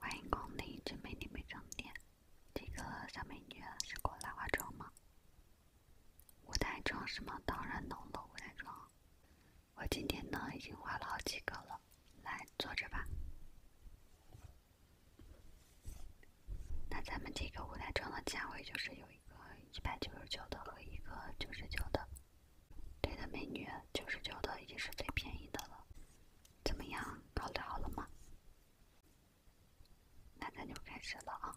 欢迎光临这美丽美妆店。这个小美女是过来化妆吗？舞台妆是吗？当然能了，舞台妆。我今天呢已经画了好几个了，来坐着吧。那咱们这个舞台妆的价位就是有一个一百九十九的和一个九十九的。对的，美女，九十九的已经是最便宜的了。怎么样，考虑好了吗？那咱就开始了啊！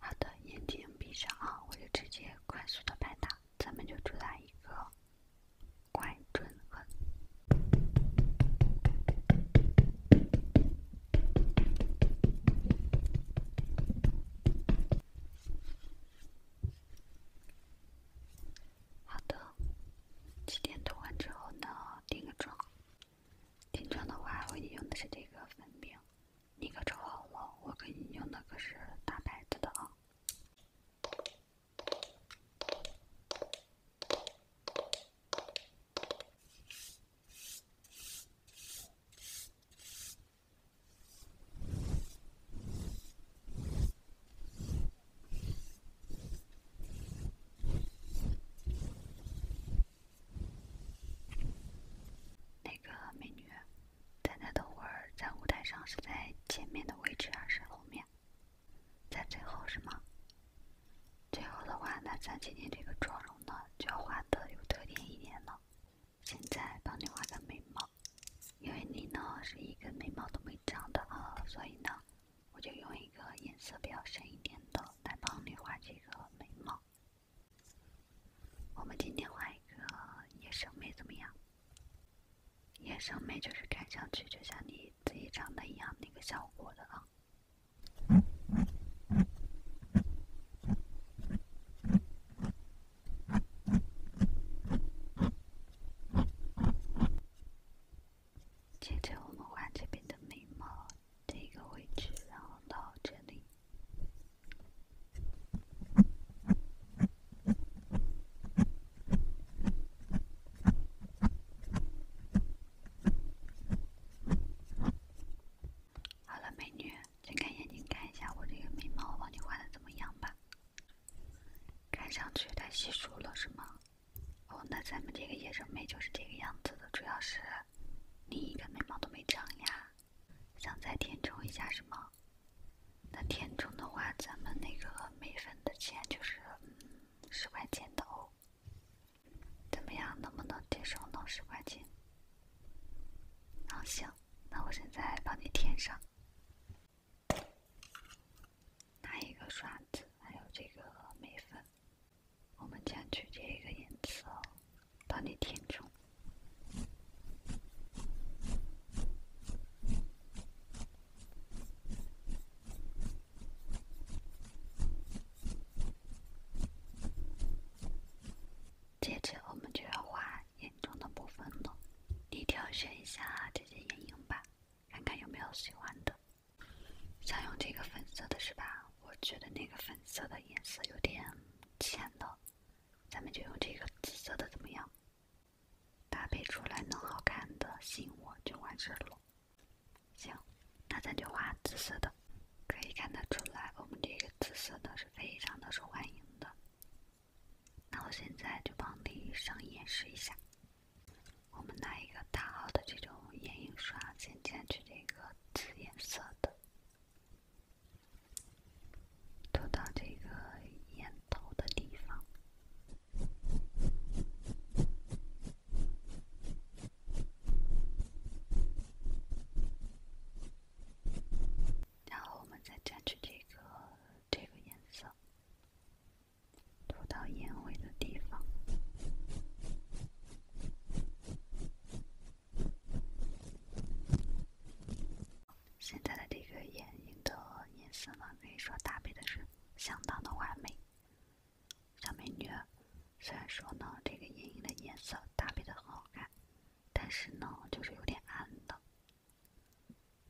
好的，眼睛闭上啊，我就直接快速的拍打，咱们就主打一个。快准狠！好的，气垫涂完之后呢？定个妆。定妆的话，我你用的是这个粉饼，你可瞅好了，我给你用的可是大牌子的啊。那个美女，咱俩等会儿在舞台上是在前面的位置还是后面？在最后是吗？最后的话，那咱今天这个妆容呢，就要画的有特点一点了。现在帮你画个眉毛，因为你呢是一个眉毛都没长的啊，所以呢，我就用一个颜色比较深一点的来帮你画这个眉毛。我们今天画一个野生眉怎么样？野生眉就是看上去就像你自己长得一样那个效果的啊。接着我们画这边的眉毛这个位置，然后到这里。好了，美女，睁开眼睛看一下我这个眉毛，我帮你画的怎么样吧？看上去太稀疏了，是吗？哦，那咱们这个野生眉就是这个样子的，主要是你一个眉毛都没长呀，想再填充一下，是吗？那填充的话，咱们那个眉粉的钱就是十块钱的哦。怎么样，能不能填充到十块钱？行，那我现在帮你填上。拿一个刷子，还有这个眉粉，我们将取这个颜色帮你填充。接着我们就要画眼妆的部分了，你挑选一下这些眼影吧，看看有没有喜欢的。想用这个粉色的是吧？我觉得那个粉色的颜色有点浅了，咱们就用这个紫色的怎么样？搭配出来能好看的吸引我就完事了。行，那咱就画紫色的，可以看得出来，我们这个紫色的是非常的受欢迎的。那我现在就帮你上演示一下，我们拿一个大号的这种眼影刷，先蘸取这个紫颜色的，涂到这个眼头的地方。然后我们再蘸取这个这个颜色，涂到眼尾的地方。现在的这个眼影的颜色呢，可以说搭配的是。相当的完美，小美女。虽然说呢，这个眼影的颜色搭配的很好看，但是呢，就是有点暗的。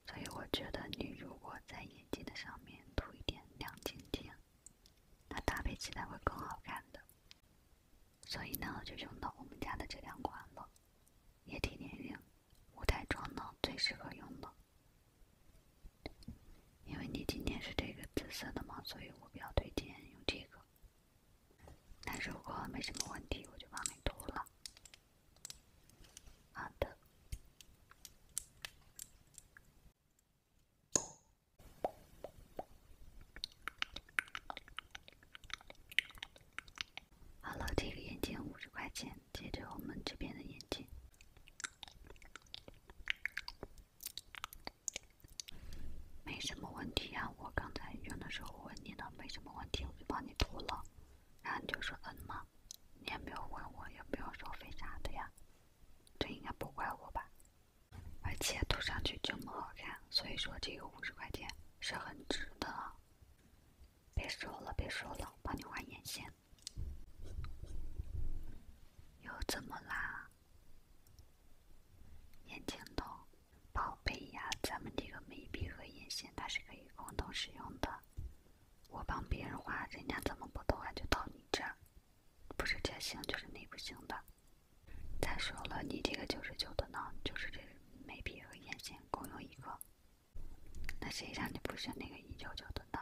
所以我觉得，你如果在眼睛的上面涂一点亮晶晶，它搭配起来会更好看的。所以呢，就用到我们家的这两款了，也挺眼影。舞台妆呢，最适合用的，因为你今天是这个紫色的嘛，所以我比较推荐用这个。但是如果没什么问题，我就帮你涂了。好的。好了，这个眼镜五十块钱，接着我们这边的眼镜。没什么问题呀，我刚才用的时候问你了，没什么问题我就帮你涂了，然后你就说嗯嘛，你也没有问我，也没有说为啥的呀，这应该不怪我吧？而且涂上去这么好看，所以说这个五十块钱是很值的。别说了别说了，帮你画眼线。又怎么啦？眼睛都，宝贝呀，咱们这个眉笔和眼线它是可以共同使用的。我帮别人画，人家怎么不偷啊？就到你这，儿，不是这行就是那不行的。再说了，你这个九十九的呢，就是这眉笔和眼线共用一个。那谁让你不选那个一九九的呢？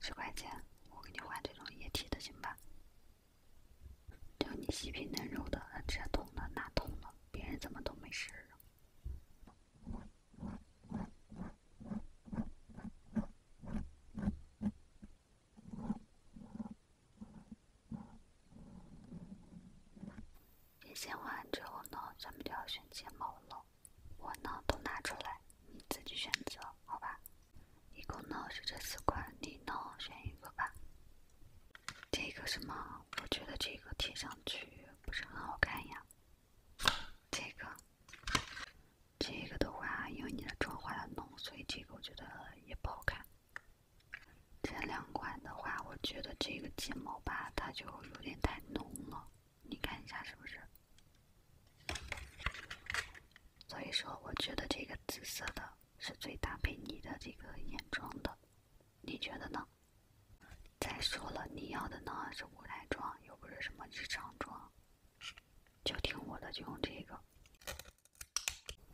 十块钱，我给你换这种液体的，行吧？就你细皮嫩肉的，这痛了那痛了，别人怎么都没事儿眼线画完之后呢，咱们就要选睫毛了。我呢都拿出来，你自己选择，好吧？一共呢是这四款，你呢选一个吧。这个什么？我觉得这个贴上去不是很好看呀。这个，这个的话，因为你的妆化的浓，所以这个我觉得也不好看。这两款的话，我觉得这个睫毛吧，它就有点太浓了。你看一下是不是？所以说，我觉得这个紫色的是最搭配你的这个眼妆的，你觉得呢？再说了，你要的呢是舞台妆，又不是什么日常妆，就听我的，就用这个。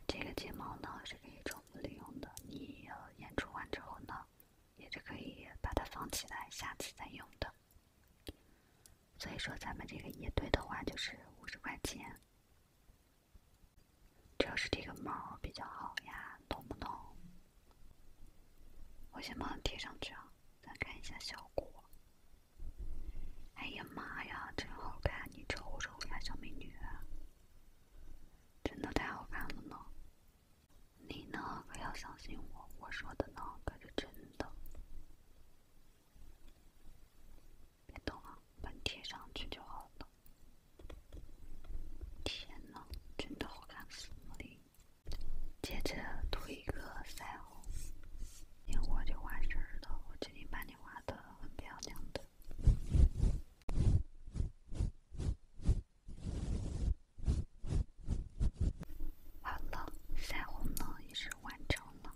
这个睫毛呢是可以重复利用的，你演出完之后呢？也是可以把它放起来，下次再用的。所以说，咱们这个一对的话就是五十块钱。主要是这个毛比较好呀，懂不懂？我先帮你贴上去啊，再看一下效果。哎呀妈呀，真好看！你瞅瞅呀，小美女，真的太好看了呢。你呢？可要相信我，我说的呢，可是真的。别动了，把你贴上去就好了。天呐，真的好看死！接着涂一个腮红，眼我就完事儿了。我今天把你画的很漂亮的。好了，腮红呢也是完成了。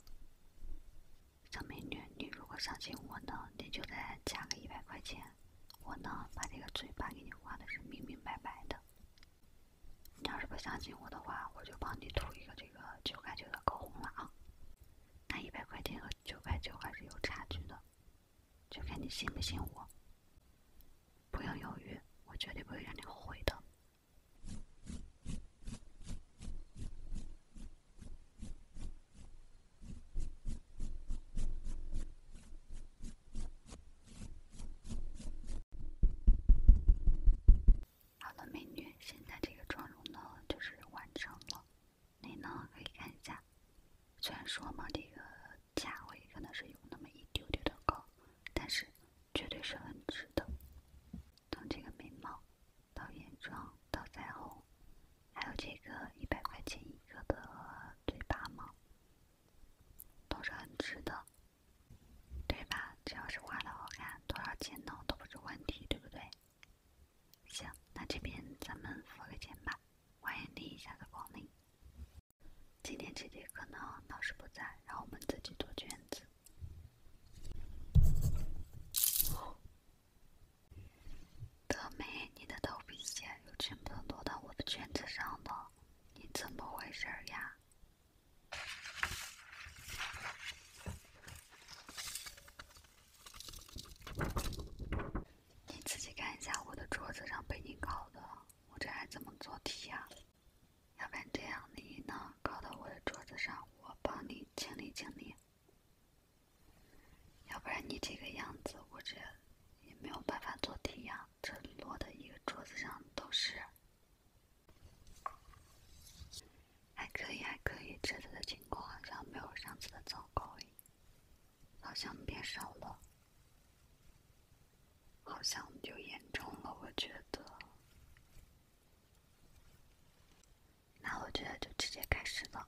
小美女，你如果相信我呢，你就再加个一百块钱，我呢把这个嘴巴给你画的是明明白白的。你要是不相信我的话，我就帮你涂一个这个九块九的口红了啊。那一百块钱和九块九还是有差距的，就看你信不信我。不要犹豫，我绝对不会让你后悔的。好了，美女，现在这个妆容呢，就是完成了。你呢，可以看一下。虽然说嘛，这个价位可能是有那么一丢丢的高。但是，绝对是很值的。从这个眉毛到眼妆到腮红，还有这个一百块钱一个的嘴巴毛，都是很值的，对吧？只要是画的好看，多少钱呢都不是问题，对不对？行，那这边咱们付个钱吧。欢迎你下次光临。今天这节课呢，老师不在，让我们自己做卷子。德美，你的头皮屑又全部落到我的卷子上了，你怎么回事儿呀？你自己看一下我的桌子上被你搞的，我这还怎么做题呀？要不然这样，你呢，靠到我的桌子上，我帮你清理清理。要不然你这个样子，我这也没有办法做题呀，这摞的一个桌子上都是。还可以，还可以，这次的情况好像没有上次的糟糕好像变少了。好像就严重了，我觉得。那我觉得就直接开始了。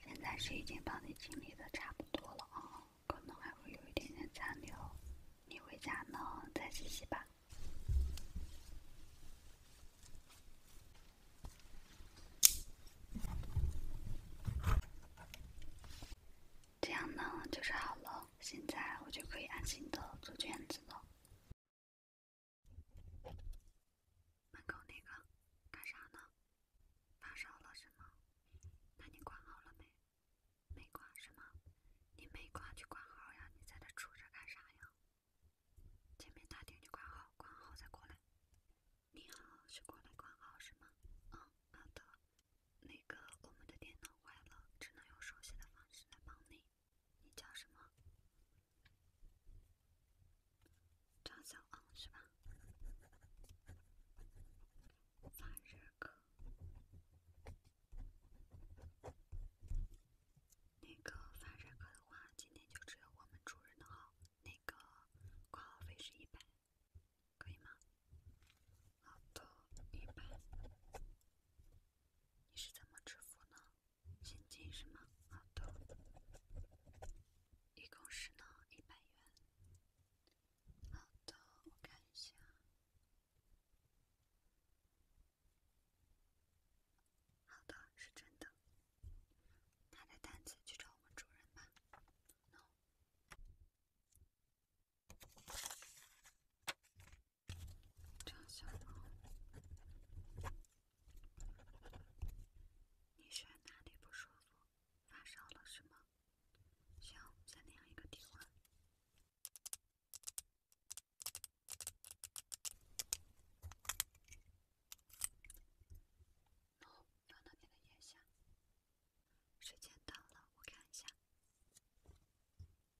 现在是已经帮你清理的差不多了啊，可能还会有一点点残留，你回家呢再洗洗吧。这样呢就是好了，现在我就可以安心的做卷子了。门口那个，干啥呢？发烧了是吗？那你挂号了没？没挂是吗？你没挂就挂号呀！你在这杵着干啥呀？前面大厅就挂号，挂号再过来。你好，是过来挂号是吗？嗯，好的。那个，我们的电脑坏了，只能用手写的方式来帮你。你叫什么？张小昂是吧？发热科，那个发热科的话，今天就只有我们主任的号。那个挂号费是一百，可以吗？好的，一百。你是怎么支付呢？现金是吗？好的，一共是呢一百元。好的，我看一下。好的，是真的。拿着单子去找我们主任吧。No。张小萌，你身哪里不舒服？发烧了是吗？行，再量一个体温。时间到了，我看一下。妈呀！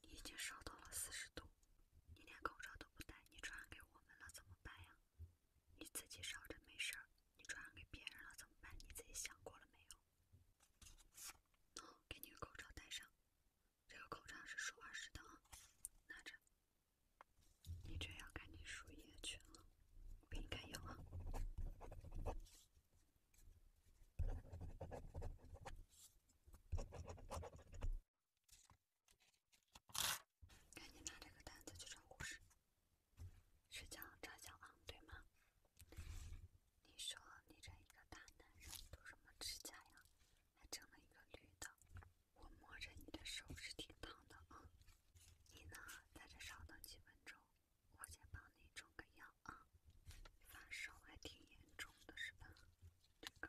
你已经烧到了四十度，你连口罩都不戴，你传染给我们了怎么办呀？你自己烧着没事儿，你传染给别人了怎么办？你自己想过了没有？喏，给你个口罩戴上，这个口罩是输二十的啊，拿着。你这样赶紧输液去啊，不应该有啊。赶紧拿这个单子去找护士，是叫张小王对吗？你说你这一个大男人，涂什么指甲呀？还整了一个绿的，我摸着你的手是挺疼的啊。你呢，在这稍等几分钟。我先帮你冲个药啊，发烧还挺严重的是吧？这个。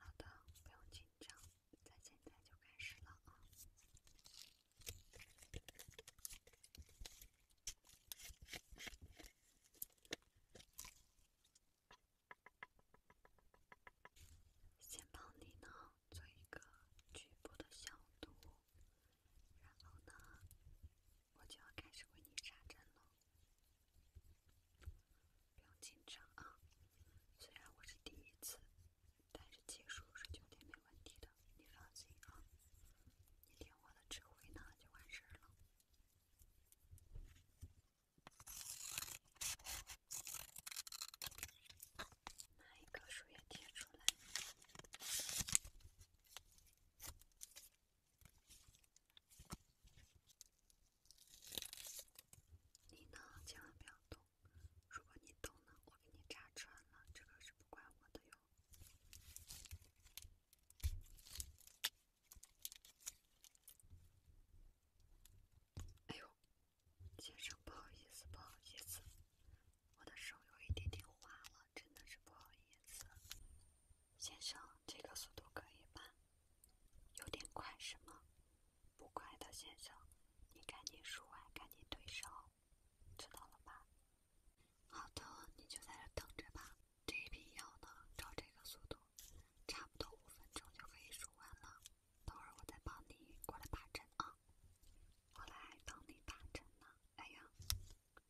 好的，不用紧张，咱现在就开始了啊！先帮你呢做一个局部的消毒，然后呢，我就要开始为你扎针了，不用紧张啊，虽然我是第一次。但是技术是绝对没问题的，你放心啊！你听我的指挥呢，就完事了。拿一个树叶贴出来，你呢，千万不要动。如果你懂了，我给你扎穿了，这个是不怪我的哟。哎呦，先生，不好意思，不好意思，我的手有一点点滑了，真的是不好意思。先生，这个速度可以吧？有点快是吗？不快的先生，你赶紧输完，赶紧退烧，知道了吧？好的，你就在这等着吧。这一瓶药呢，照这个速度，差不多五分钟就可以输完了。等会儿我再帮你过来打针啊。我来帮你打针呢。哎呀，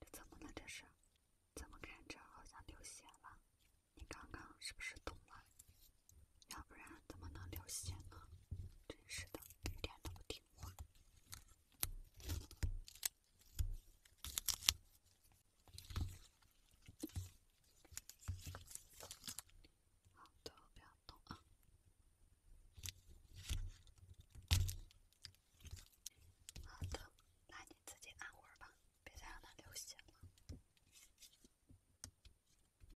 这怎么了这是？怎么看着好像流血了？你刚刚是不是动了？要不然怎么能流血呢？真是的，一点都不听话。好的，不要动啊。好的，那你自己按会儿吧，别再让它流血了。